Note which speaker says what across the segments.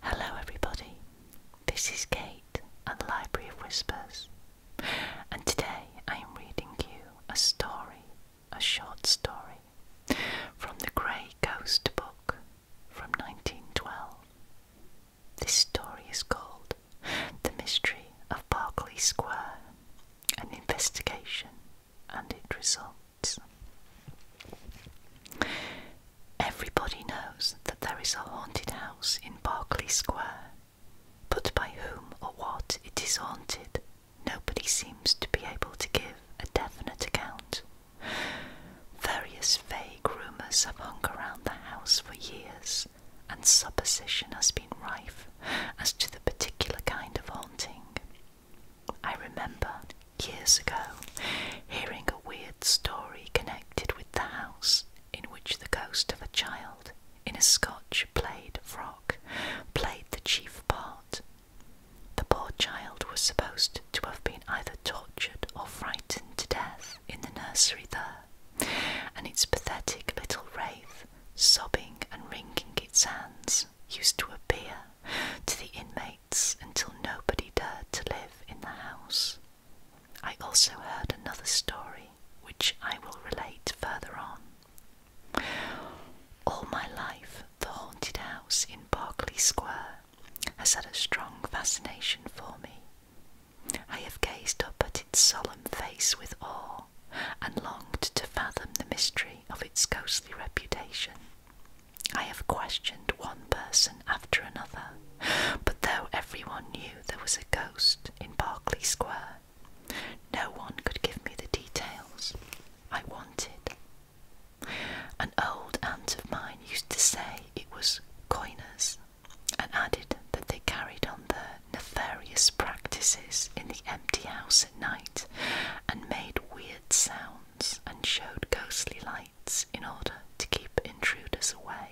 Speaker 1: Hello, everybody. This is Kate at the Library of Whispers, and today I am reading you a story, a short story, from the Grey Ghost book from 1912. This story is called The Mystery of Berkeley Square An Investigation and Its Result. Everybody knows that there is a haunted house in Berkeley Square, but by whom or what it is haunted, nobody seems to be able to give a definite account. Various vague rumours have hung around the house for years, and supposition has been rife as to the particular kind of haunting. I remember years ago, hearing a weird story connected with the house in which the ghost of a child in a Scotch plaid frock played the chief part. The poor child was supposed to have been either tortured or frightened to death in the nursery there, and its pathetic little wraith, sobbing and wringing its hands, used to appear to the inmates until nobody dared to live in the house. I also heard another story, which I will relate further on. All my life, the haunted house in Berkeley Square has had a strong fascination for me. I have gazed up at its solemn face with awe and longed to fathom the mystery of its ghostly reputation. I have questioned one person after another, but though everyone knew there was a ghost in Berkeley Square, no one could give me the details I wanted. An old aunt of mine used to say it was coiners and added that they carried on their nefarious practices in the empty house at night and made weird sounds and showed ghostly lights in order to keep intruders away.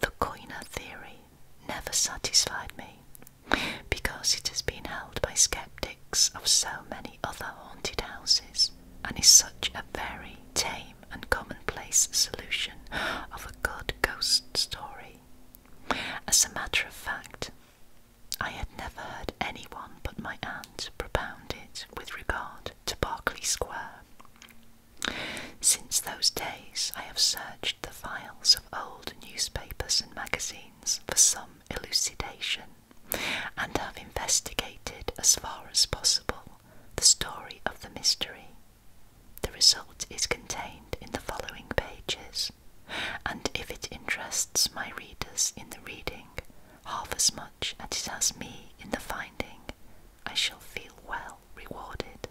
Speaker 1: The coiner theory never satisfied me because it has been held by skeptics of so many other haunted houses and is such a very tame and commonplace solution of a good ghost story. As a matter of fact, I had never heard anyone but my aunt propound it with regard to Berkeley Square. Since those days, I have searched the files of old newspapers and magazines for some elucidation and have investigated as far as possible the story of the mystery. The result is contained in the following pages, and if it interests my readers in the reading, half as much as it has me in the finding, I shall feel well rewarded.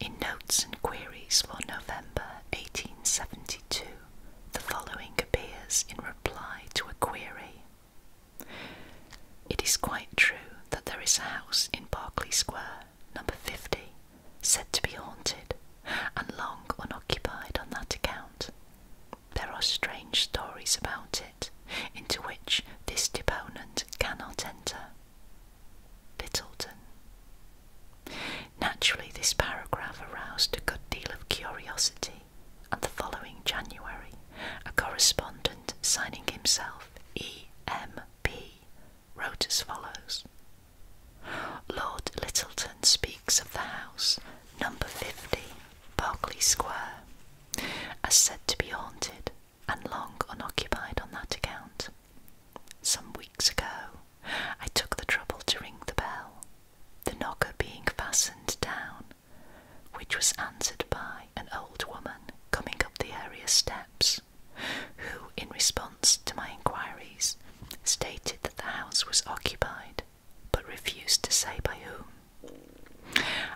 Speaker 1: In Notes and Queries for November 1872, the following appears in reply to a query. It is quite true that there is a house in Berkeley Square, number 50, said to be haunted, and long unoccupied on that account, there are strange stories about it, into which this deponent cannot enter. Littleton. Naturally, this paragraph aroused a good deal of curiosity, and the following January, a correspondent signing himself E.M.P. wrote as follows Lord Littleton speaks of the house, number 50, Berkeley Square, are said to be haunted and long unoccupied on that account. Some weeks ago, I took the trouble to ring the bell, the knocker being fastened down, which was answered by an old woman coming up the area steps, who, in response to my inquiries, stated that the house was occupied but refused to say by whom.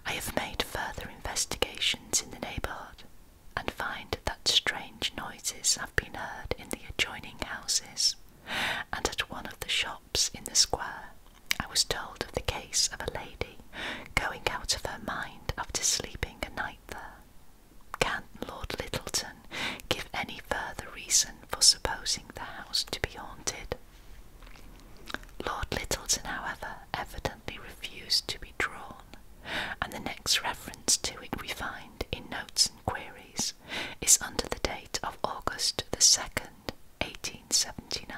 Speaker 1: I have made further investigations in the neighbourhood and find that strange noises have been heard in the adjoining houses and at one of the shops in the square. I was told of the case of a lady going out of her mind after sleeping a night there. Can Lord Littleton give any further reason for supposing the house to be haunted. Lord Littleton, however, evidently refused to be drawn, and the next reference to it we find in Notes and Queries is under the date of August the 2nd, 1879.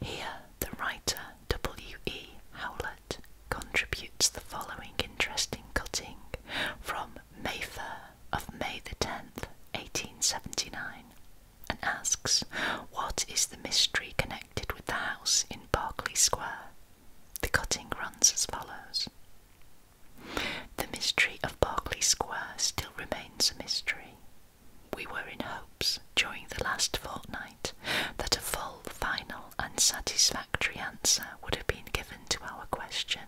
Speaker 1: Here, the writer W. E. Howlett contributes the following interesting cutting from Mayfair of May the 10th, 1879, and asks, What is the mystery connected with the house in Berkeley Square? The cutting runs as follows The mystery of Berkeley Square still remains a mystery. We were in hopes during the last fortnight that a full, final, and satisfactory answer would have been given to our question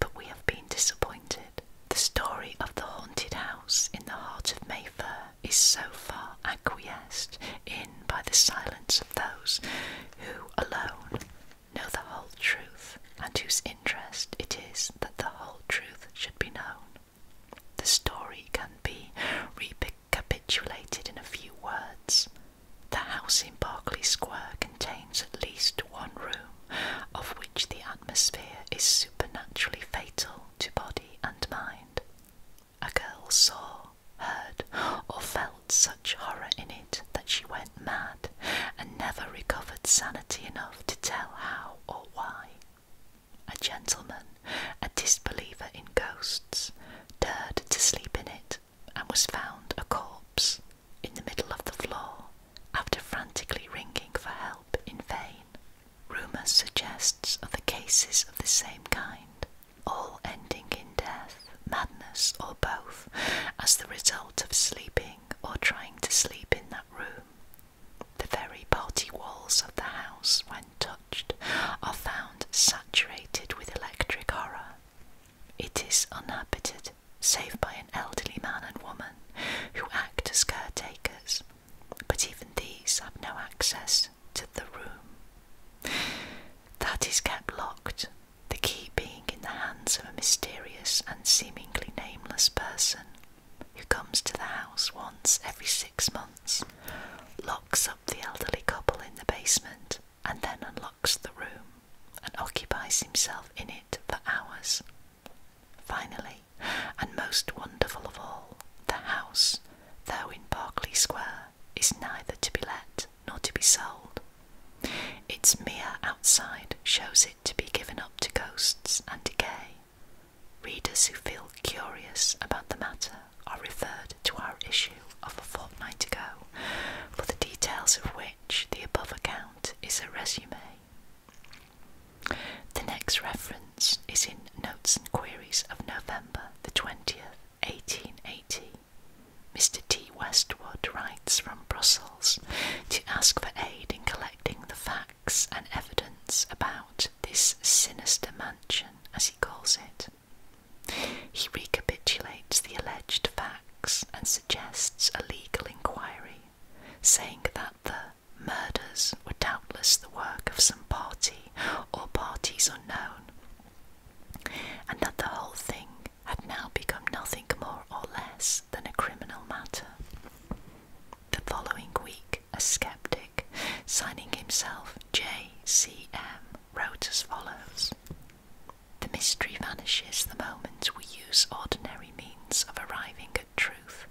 Speaker 1: but we have been disappointed. The story of the haunted house in the heart of Mayfair is so far acquiesced in by the silence of those who alone know the whole truth and whose interest it is that the whole truth should be known. The story can be recapitulated in a few words. The house in Berkeley Square contains at least one room of which the atmosphere is supernaturally fatal to body and mind. A girl saw, heard, or felt such horror in it that she went mad and never recovered sanity enough to tell how or why. A gentleman, a disbeliever in ghosts, dared to sleep in it and was found a corpse in the middle of the floor after frantically ringing for help in vain. Rumour suggests other cases of the same kind, all ending in death, madness, or both, as the result of sleeping or trying to sleep in that room. The very party walls of the house, when touched, are found saturated with electric horror. It is uninhabited save by an elderly man and woman who act as caretakers, but even these have no access to the room. That is kept locked, the key being in the hands of a mysterious and seemingly nameless person who comes to the house once every six months, locks up the elderly couple in the basement, and then unlocks the room and occupies himself in it for hours. Finally, and most wonderful of all, the house, though in Berkeley Square, is neither to be let nor to be sold. Its mere outside shows it to be given up to ghosts and decay. Readers who feel curious about the matter are referred to our issue of a fortnight ago for the details of which the above account is a resume. The next reference is in Notes and Queries of November the 20th, 1880. Mr. T. Westwood writes from Brussels to ask for aid in collecting the facts and evidence about this sinister mansion, as he calls it. He recapitulates the alleged facts and suggests a legal inquiry saying that the murders were doubtless the work of some party or parties unknown, and that the whole thing had now become nothing more or less than a criminal matter. The following week, a skeptic, signing himself J.C.M., wrote as follows the mystery vanishes the moment we use ordinary means of arriving at truth.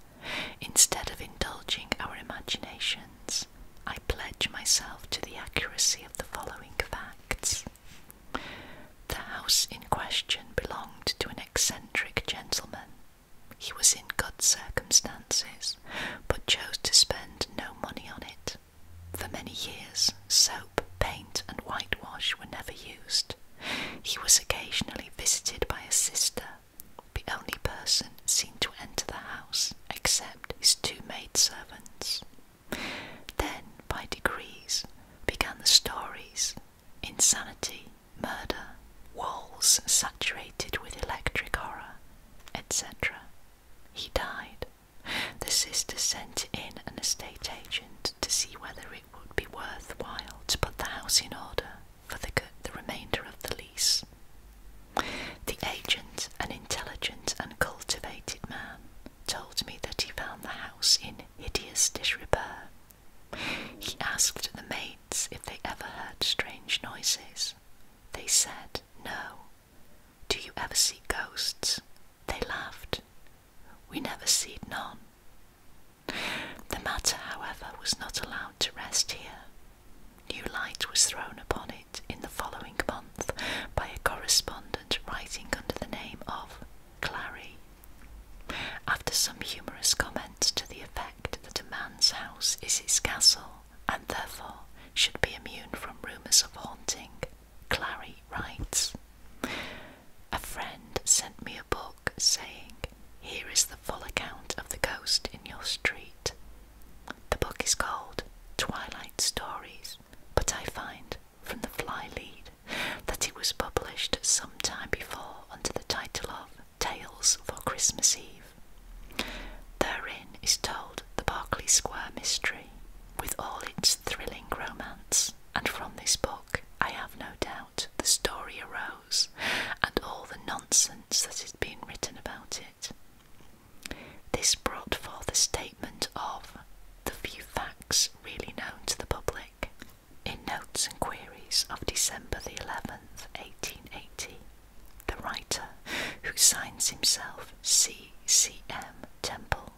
Speaker 1: Instead of indulging our imaginations, I pledge myself to the accuracy of the following facts. The house in question belonged to an eccentric gentleman. He was in good circumstances, but chose to spend no money on it. For many years, soap, paint, and whitewash were never used. He was occasionally visited by a sister, the only person seen to enter the house except his two maidservants. Then, by degrees, began the stories insanity, murder, walls saturated with electric horror, etc. He died. The sister sent in an estate agent to see whether would be worthwhile to put the house in order for the remainder of the lease. The agent, an intelligent and cultivated man, told me that he found the house in hideous disrepair. He asked the maids if they ever heard strange noises. They said, No. Do you ever see ghosts? They laughed. We never seed none. The matter, however, was not allowed to rest here. New light was thrown upon it in the following month by a correspondent writing under the name of Clary. After some humorous comments to the effect that a man's house is his castle and therefore should be immune from rumours of haunting, Clary writes a friend sent me a book saying, Here is the full account of the ghost in your street. The book is called Twilight Stories, but I find from the fly lead that it was published some time before under the title of Tales for Christmas Eve. Therein is told the Berkeley Square mystery with all its thrilling romance, and from this book. I have no doubt, the story arose and all the nonsense that has been written about it. This brought forth a statement of the few facts really known to the public in Notes and Queries of December the 11th, 1880. The writer, who signs himself C. C. M. Temple,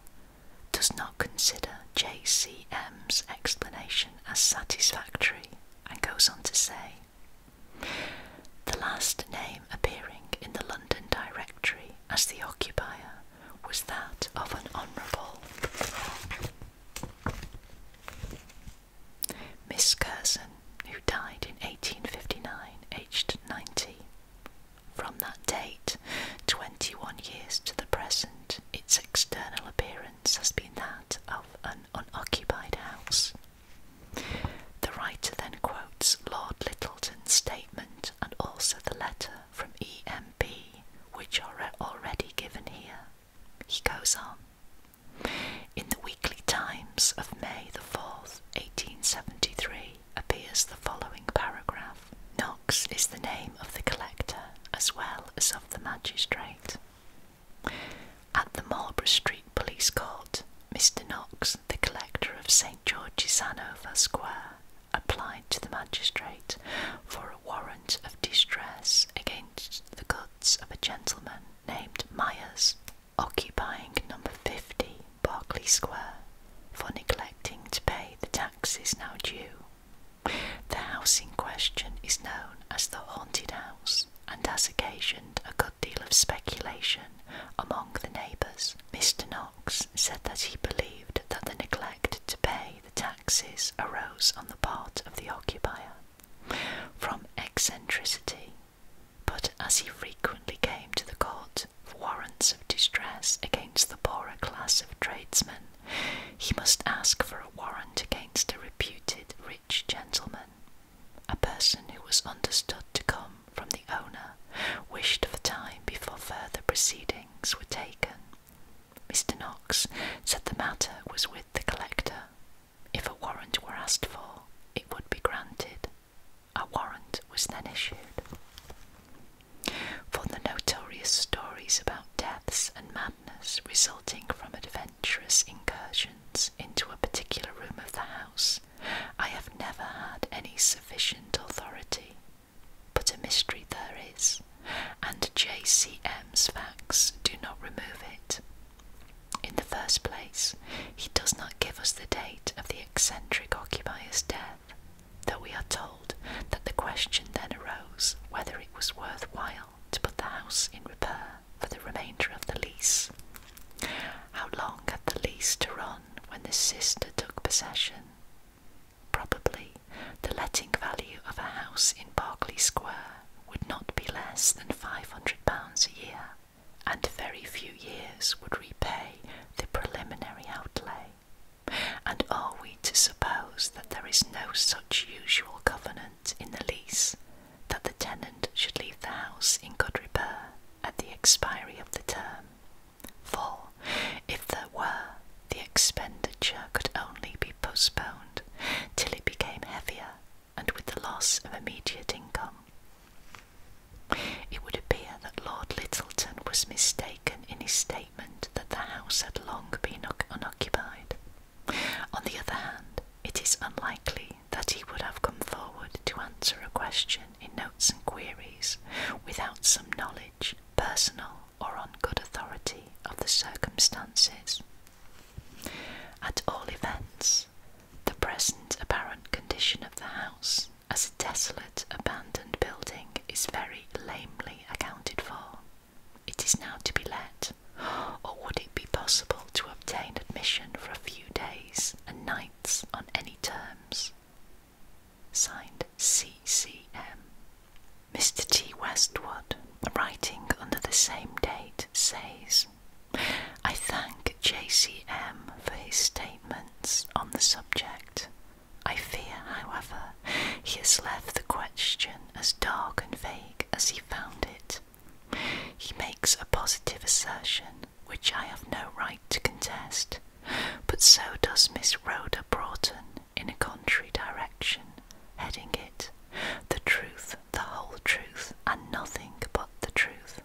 Speaker 1: does not consider JCM's explanation as satisfactory and goes on to say the last name appearing in the London Directory as the occupier was that of an Honourable. Miss Curson, who died in 1859, aged 90. From that date, 21 years to the present, its external appearance has been that of an unoccupied house. The writer then quotes Lord Littleton's statement and also the letter from EMB, which are already given here. He goes on. In the Weekly Times of May the 4th, 1873, appears the following paragraph Knox is the name of the collector as well as of the magistrate. At the Marlborough Street Police Court, Mr. Knox, the collector of St. George's, Hanover Square, applied to the magistrate for a warrant of distress against the goods of a gentleman named Myers, occupying number 50 Berkeley Square, for neglecting to pay the taxes now due. The house in question is known as the Haunted House and has occasioned a good deal of speculation among the neighbours. Mr. Knox said that he believed that the neglect to pay the taxes arose on the part of the occupier from eccentricity, but as he frequently came to the court for warrants of distress against the poorer class of tradesmen, he must ask for a warrant against a reputed rich gentleman, a person who was understood to come from the owner, wished for time before further proceedings were taken. Mr. Knox said the matter was with the collector. If a warrant were asked for, it would be granted. A warrant was then issued. For the notorious stories about deaths and madness resulting from adventurous incursions into a particular room of the house, I have never had any sufficient authority. But a mystery there is, and J.C.M.'s facts do not remove it. In the first place, he does not give us the date of the eccentric occupier's death, though we are told that the question then arose whether it was worthwhile to put the house in repair for the remainder of the lease. How long had the lease to run when the sister took possession? Probably the letting value of a house in Berkeley Square would not be less than £500 a year, and very few years would repay the preliminary outlay and are we to suppose that there is no such usual covenant in the lease that the tenant should leave the house in good repair at the expiry of the term? For, if there were, the expenditure could only be postponed till it became heavier and with the loss of immediate income. It would appear that Lord Littleton was mistaken in his statement that the house had long been unoccupied. On the other hand, it is unlikely that he would have come forward to answer a question in notes and queries without some knowledge, personal or on good authority, of the circumstances. At all events, the present apparent condition of the house as a desolate, abandoned building is very lamely accounted for. It is now to be let, or would it be possible to obtain admission for a few days and nights on any terms? Signed CCM. Mr. T. Westwood, writing under the same date, says, I thank JCM for his statements on the subject I fear, however, he has left the question as dark and vague as he found it. He makes a positive assertion which I have no right to contest, but so does Miss Rhoda Broughton in a contrary direction, heading it The Truth, the Whole Truth, and Nothing But the Truth.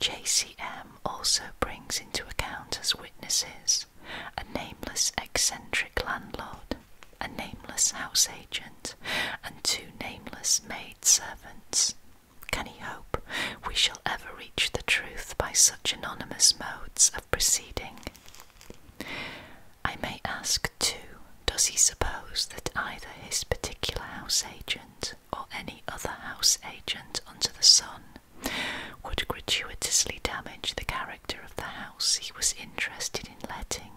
Speaker 1: JCM also brings into account as witnesses a nameless eccentric landlord, a nameless house agent, and two nameless maid servants. Can he hope we shall ever reach the truth by such anonymous modes of proceeding? I may ask, too, does he suppose that either his particular house agent or any other house agent under the sun would gratuitously damage the character of the house he was interested in letting.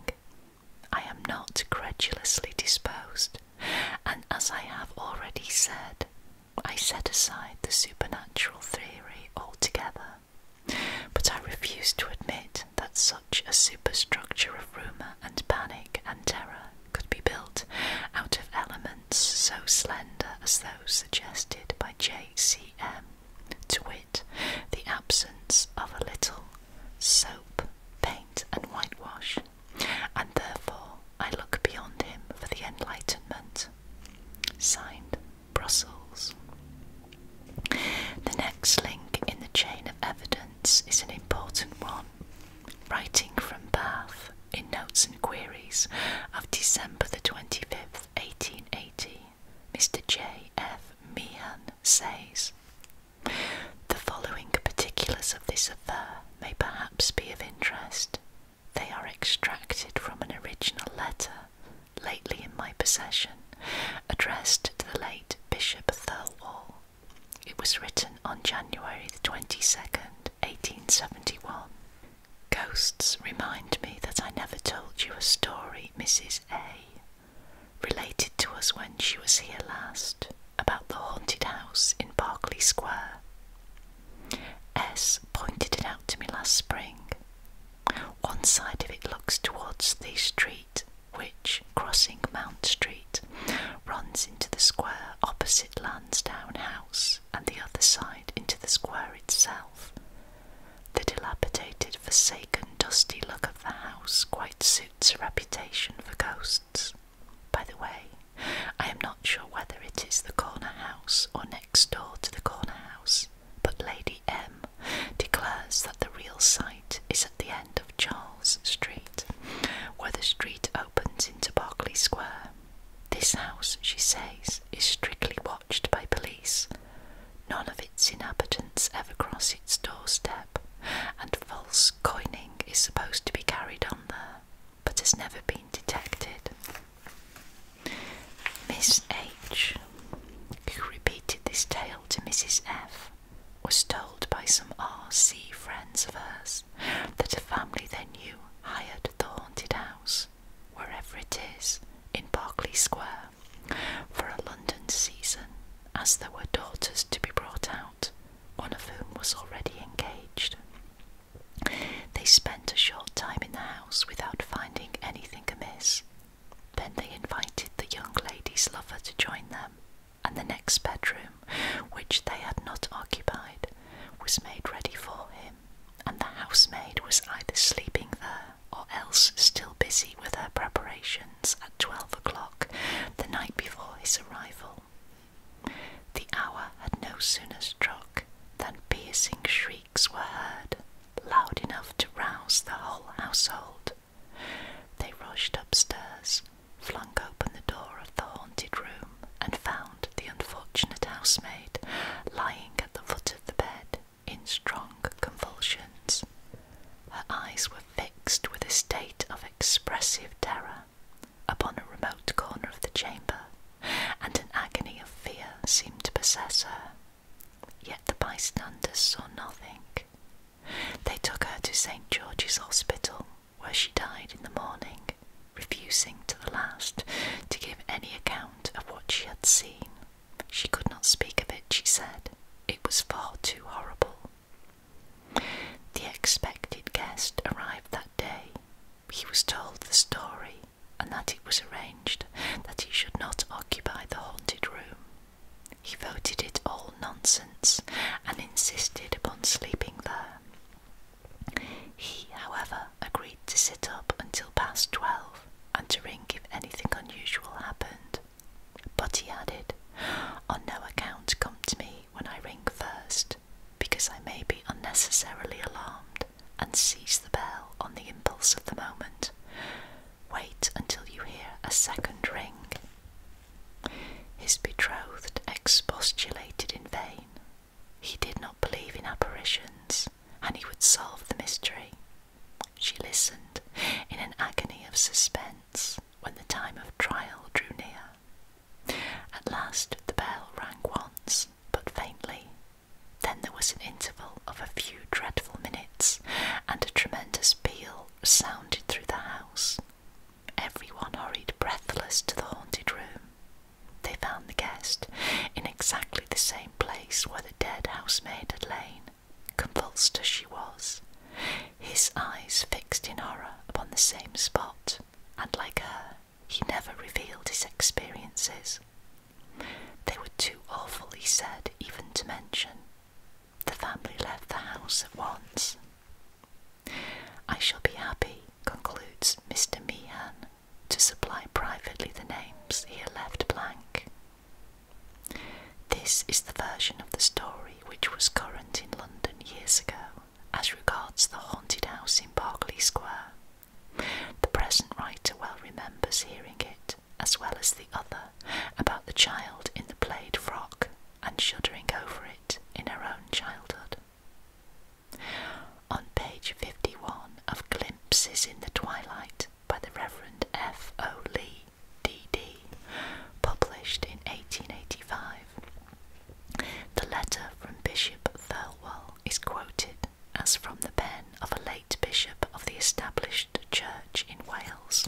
Speaker 1: I am not credulously disposed, and as I have already said, I set aside the supernatural theory altogether. But I refuse to admit that such a superstructure of rumour and panic and terror could be built out of elements so slender as those suggested by J.C.M to wit, the absence of a little soap, paint, and whitewash, and therefore I look beyond him for the Enlightenment. Signed, Brussels. The next link in the chain of evidence is an important one. Writing from Bath in Notes and Queries of December the 25th, 1880, Mr. J. F. Meehan says The following particulars of this affair may perhaps be of interest. They are extracted from an original letter lately in my possession, addressed to the late Bishop Thirlwall. It was written on January the 22nd, 1871. Ghosts remind me that I never told you a story, Mrs. A related to us when she was here last about the haunted house in Berkeley Square. S pointed it out to me last spring. One side of it looks towards the street, which, crossing Mount Street, runs into the square opposite Lansdowne House, and the other side into the square itself, the dilapidated, forsaken, dusty look of the house quite suits a reputation for ghosts. By the way, I am not sure whether it is the corner house or next door to the corner house, but Lady M declares that the real site is at the end of Charles Street, where the street opens into Berkeley Square. This house, she says, is strictly watched by police None of its inhabitants ever cross its doorstep, and false coining is supposed to be carried on there, but has never been detected. Miss H, who repeated this tale to Mrs. F, was told by some R.C. friends of hers that a family they knew hired the haunted house wherever it is, in Berkeley Square, for a London season, as there were daughters to be brought out, one of whom was already engaged. They spent a short time in the house without finding anything amiss. Then they invited the young lady's lover to join them, and the next bedroom, which they had not occupied, was made ready for him, and the housemaid was either sleeping there or else still busy with her preparations at twelve o'clock the night before his arrival. The hour had no sooner struck than piercing shrieks were heard, loud enough to rouse the whole household. They rushed upstairs, flung open the door of the haunted room, and found the unfortunate housemaid lying at the foot of the bed, in strong convulsions. Her eyes were fixed with a state of expressive terror upon a remote corner of the chamber, and an agony of fear seemed to possess her. Yet the bystanders saw nothing. They took her to St. George's Hospital, where she died in the morning, refusing to the last to give any account of what she had seen she could not speak of it, she said. It was far too horrible. The expected guest arrived that day. He was told the story, and that it was arranged that he should not occupy the haunted room. He voted it all nonsense and insisted upon sleeping there. He, however, agreed to sit up until past twelve and to ring if anything unusual happened. But he added, On no account come to me when I ring first, because I may be unnecessarily alarmed and seize the bell on the impulse of the moment. Wait until you hear a second ring. His betrothed expostulated in vain. He did not believe in apparitions and he would solve the mystery. She listened in an agony of suspense when the time of trial drew near. At last the bell rang once, but faintly. Then there was an interval of a few dreadful minutes, and a tremendous peal sounded through the house. Every one hurried breathless to the haunted room. They found the guest in exactly the same place where the dead housemaid had lain, convulsed as she was, his eyes fixed in horror upon the same spot, and like her, he never revealed his experiences. They were too awfully sad even to mention. The family left the house at once. I shall be happy, concludes Mr. Meehan, to supply privately the names here left blank. This is the version of the story which was current in London years ago as regards the haunted house in Berkeley Square. The present writer well remembers hearing it, as well as the other, about the child in the plaid frock and shuddering over it in her own childhood on page 51 of Glimpses in the Twilight by the Reverend F. O. Lee, D.D., published in 1885. The letter from Bishop Thirlwall is quoted as from the pen of a late bishop of the established church in Wales.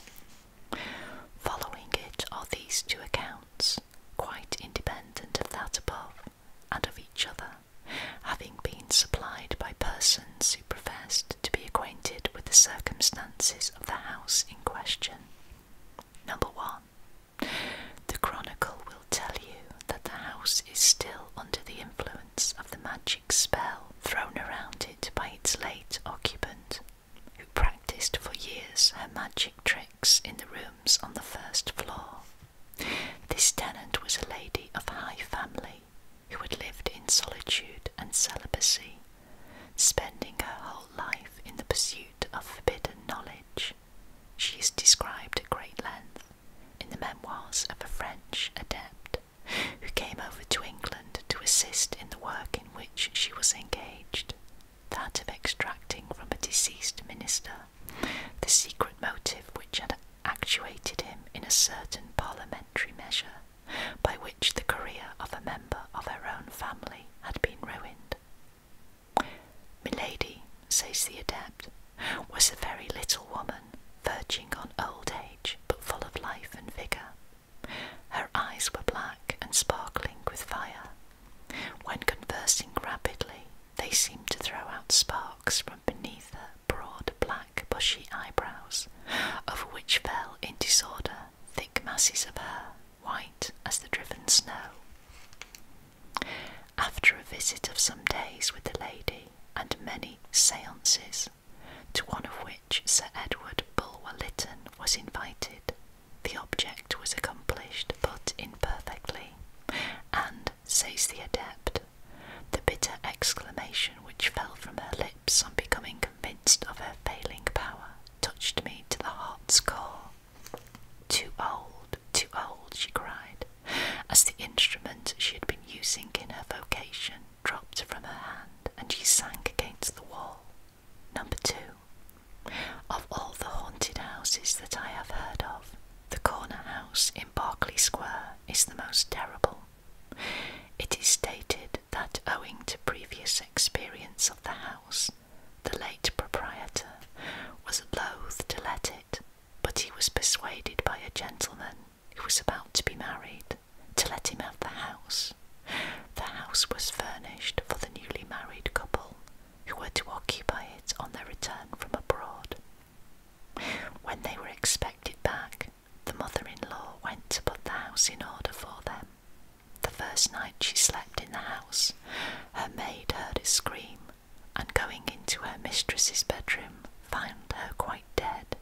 Speaker 1: Following it are these two accounts, quite independent of that above and of each other having been supplied by persons who professed to be acquainted with the circumstances of the house in question. Number one, the Chronicle will tell you that the house is still under the influence of the magic spell thrown around it by its late occupant, who practiced for years her magic tricks in the rooms on the first floor. This tenant was a lady of high family who had lived in solitude and celibacy, spending her whole life in the pursuit of forbidden knowledge. She is described at great length in the memoirs of a French adept who came over to England to assist in the work in which she was engaged, that of extracting from a deceased minister the secret motive which had actuated him in a certain parliamentary measure by which the career of a member of her own family had been ruined. Milady, says the adept, was a very little woman, verging on old age, but full of life and vigour. Her eyes were black and sparkling with fire. When conversing rapidly, they seemed to throw out sparks from beneath her broad black bushy eyebrows, over which fell in disorder thick masses of hair, white as the driven snow. After a visit of some days with the lady and many seances, to one of which Sir Edward Bulwer Lytton was invited, the object was accomplished but imperfectly, and says the adept. The bitter exclamation which fell from her lips on becoming convinced of her failing power touched me to the heart's core. Too old, too old, she cried, as the instrument she had been using in her vocation dropped from her hand and she sank against the wall. Number two. Of all the haunted houses that I have heard of, the corner house in Berkeley Square is the most terrible. It is stated that owing to previous experience of the house, the late proprietor was loth to let it, but he was persuaded by a gentleman who was about to be married to let him have the house. The house was furnished for the newly married couple who were to occupy it on their return from abroad. When they were expected back, the mother in law went to put the house in order for them. The first night she slept in the house, her maid heard a scream, and going into her mistress's bedroom, found her quite dead.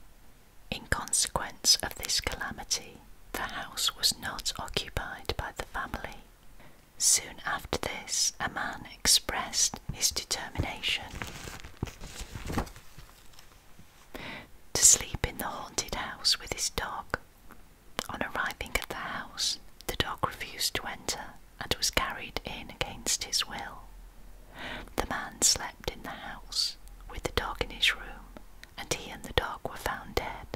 Speaker 1: In consequence of this calamity, the house was not occupied by the family. Soon after this, a man expressed his determination. To sleep in the haunted house with his dog. On arriving at the house, the dog refused to enter and was carried in against his will. The man slept in the house with the dog in his room, and he and the dog were found dead.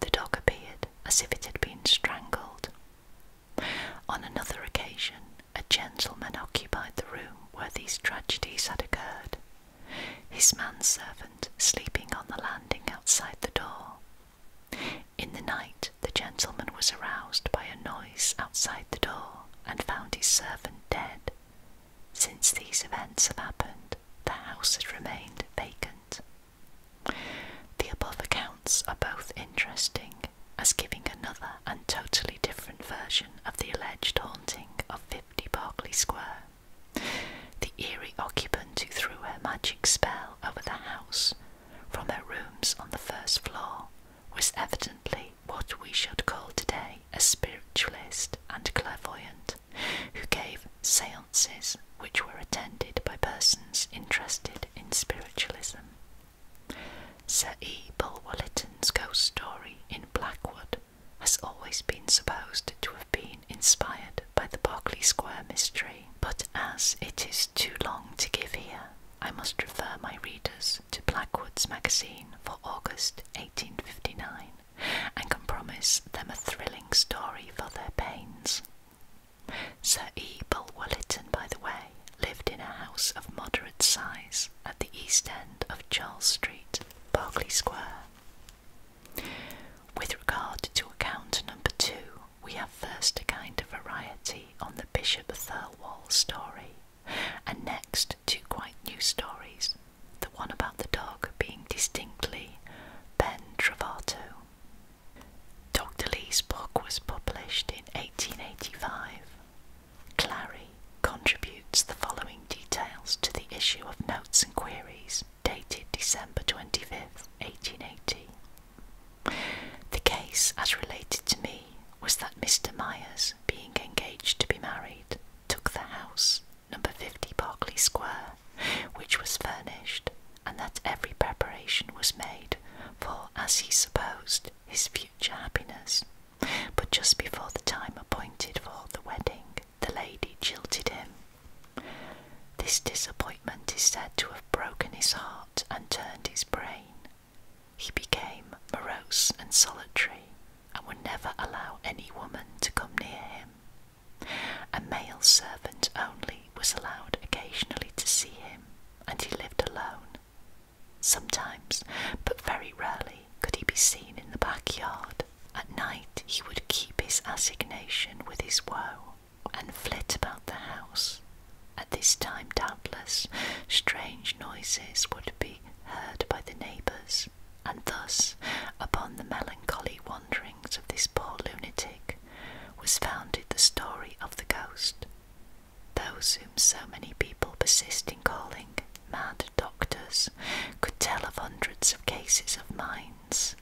Speaker 1: The dog appeared as if it had been strangled. On another occasion, a gentleman occupied the room where these tragedies had occurred, his manservant sleeping on the landing outside the door. In the night, the gentleman was aroused by a noise outside the door and found his servant dead. Since these events have happened, the house has remained vacant. The above accounts are both interesting as giving another and totally different version of the alleged haunting of 50 Berkeley Square. The eerie occupant who threw her magic spell over the house from her rooms on the first floor was evidently what we should call today a spiritualist and clairvoyant who gave seances which were attended by persons interested in spiritualism. Sir E. Bulwer-Lytton's ghost story in Blackwood has always been supposed to have been inspired by the Berkeley Square mystery, but as it is too long to give here, I must refer my readers to Blackwood's magazine for August 1859 and can promise them a thrilling story for their pains. Sir E. Bulwer-Lytton, by the way, lived in a house of moderate size at the east end of Charles Street, Berkeley Square. With regard to account number two, we have first a kind of variety on the Bishop Thirlwall story, and next two quite new stories, the one about the dog being distinctly Ben Travato. Dr. Lee's book was published in 1885 Clary contributes the following details to the issue of Notes and Queries dated December 25th, 1880. The case, as related to me, was that Mr. Myers, being engaged to be married, took the house, number 50 Parkley Square, which was furnished, and that every preparation was made for, as he supposed, his future future happiness. But just before the time appointed for the wedding, the lady jilted him. This disappointment is said to have broken his heart and turned his brain. He became morose and solitary and would never allow any woman to come near him. A male servant only was allowed occasionally to see him, and he lived alone, Sometimes, but very rarely, could he be seen in the backyard. At night, he would keep his assignation with his woe and flit about the house. At this time, doubtless, strange noises would be heard by the neighbours, and thus, upon the melancholy wanderings of this poor lunatic, was founded the story of the ghost. Those whom so many people persist in calling mad doctors could tell of hundreds of cases of minds,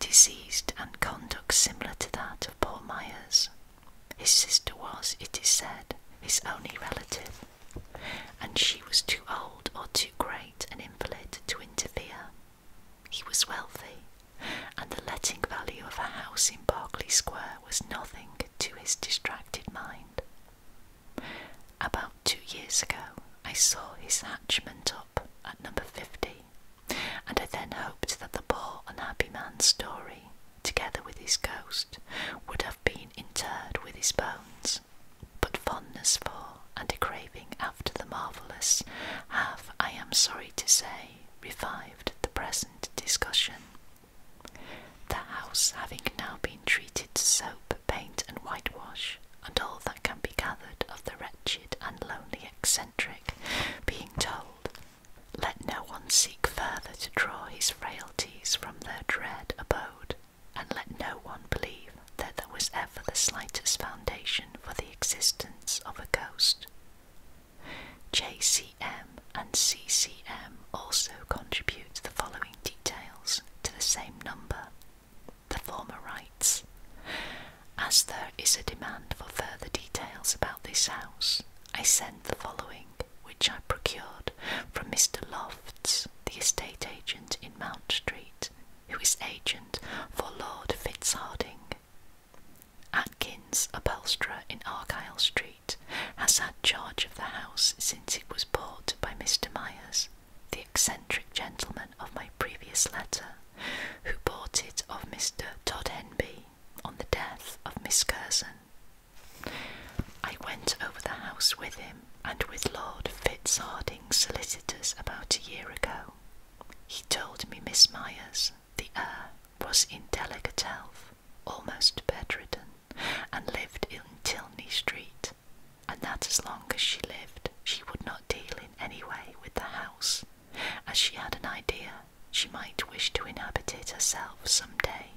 Speaker 1: diseased and conduct similar to that of poor Myers. His sister was, it is said, his only relative, and she was too old or too great an invalid to interfere. He was wealthy, and the letting value of a house in Berkeley Square was nothing to his distracted mind. About two years ago, I saw his hatchment up at number 50, and I then hoped that the poor unhappy man's story, together with his ghost, would have been interred with his bones. But fondness for and a craving after the marvellous have, I am sorry to say, revived the present discussion. The house having now been treated to soap, paint, and whitewash, and all that can be gathered of the wretched and lonely eccentric being told, let no one seek further to draw his frailties from their dread abode, and let no one believe that there was ever the slightest foundation for the existence of a ghost. JCM and CCM also contribute the following details to the same number. The former writes As there is a demand for further details about this house, I send the following, which I procured from Mr. Lofts, the estate agent in Mount Street, who is agent for Lord Fitzhardinge. Atkins, upholsterer in Argyle Street has had charge of the house since it was bought by Mr. Myers, the eccentric gentleman of my previous letter, who bought it of Mr. Tod Henby on the death of Miss Curzon. I went over the house with him and with Lord Fitzhardinge's solicitors about a year ago. He told me Miss Myers, the heir, was in delicate health almost bedridden, and lived in Tilney Street, and that as long as she lived she would not deal in any way with the house, as she had an idea she might wish to inhabit it herself some day.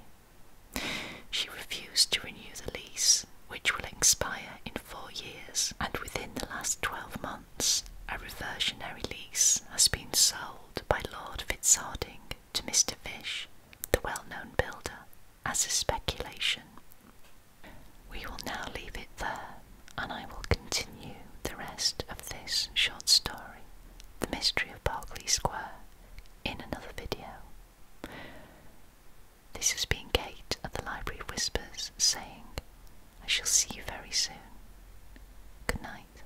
Speaker 1: She refused to renew the lease, which will expire in four years, and within the last twelve months a reversionary lease has been sold by Lord Fitzhardinge to Mr. Fish, the well known builder, as a speculation. We will now leave it there, and I will continue the rest of this short story, The Mystery of Berkeley Square, in another video. This has been Kate at the Library Whispers saying, I shall see you very soon. Good night.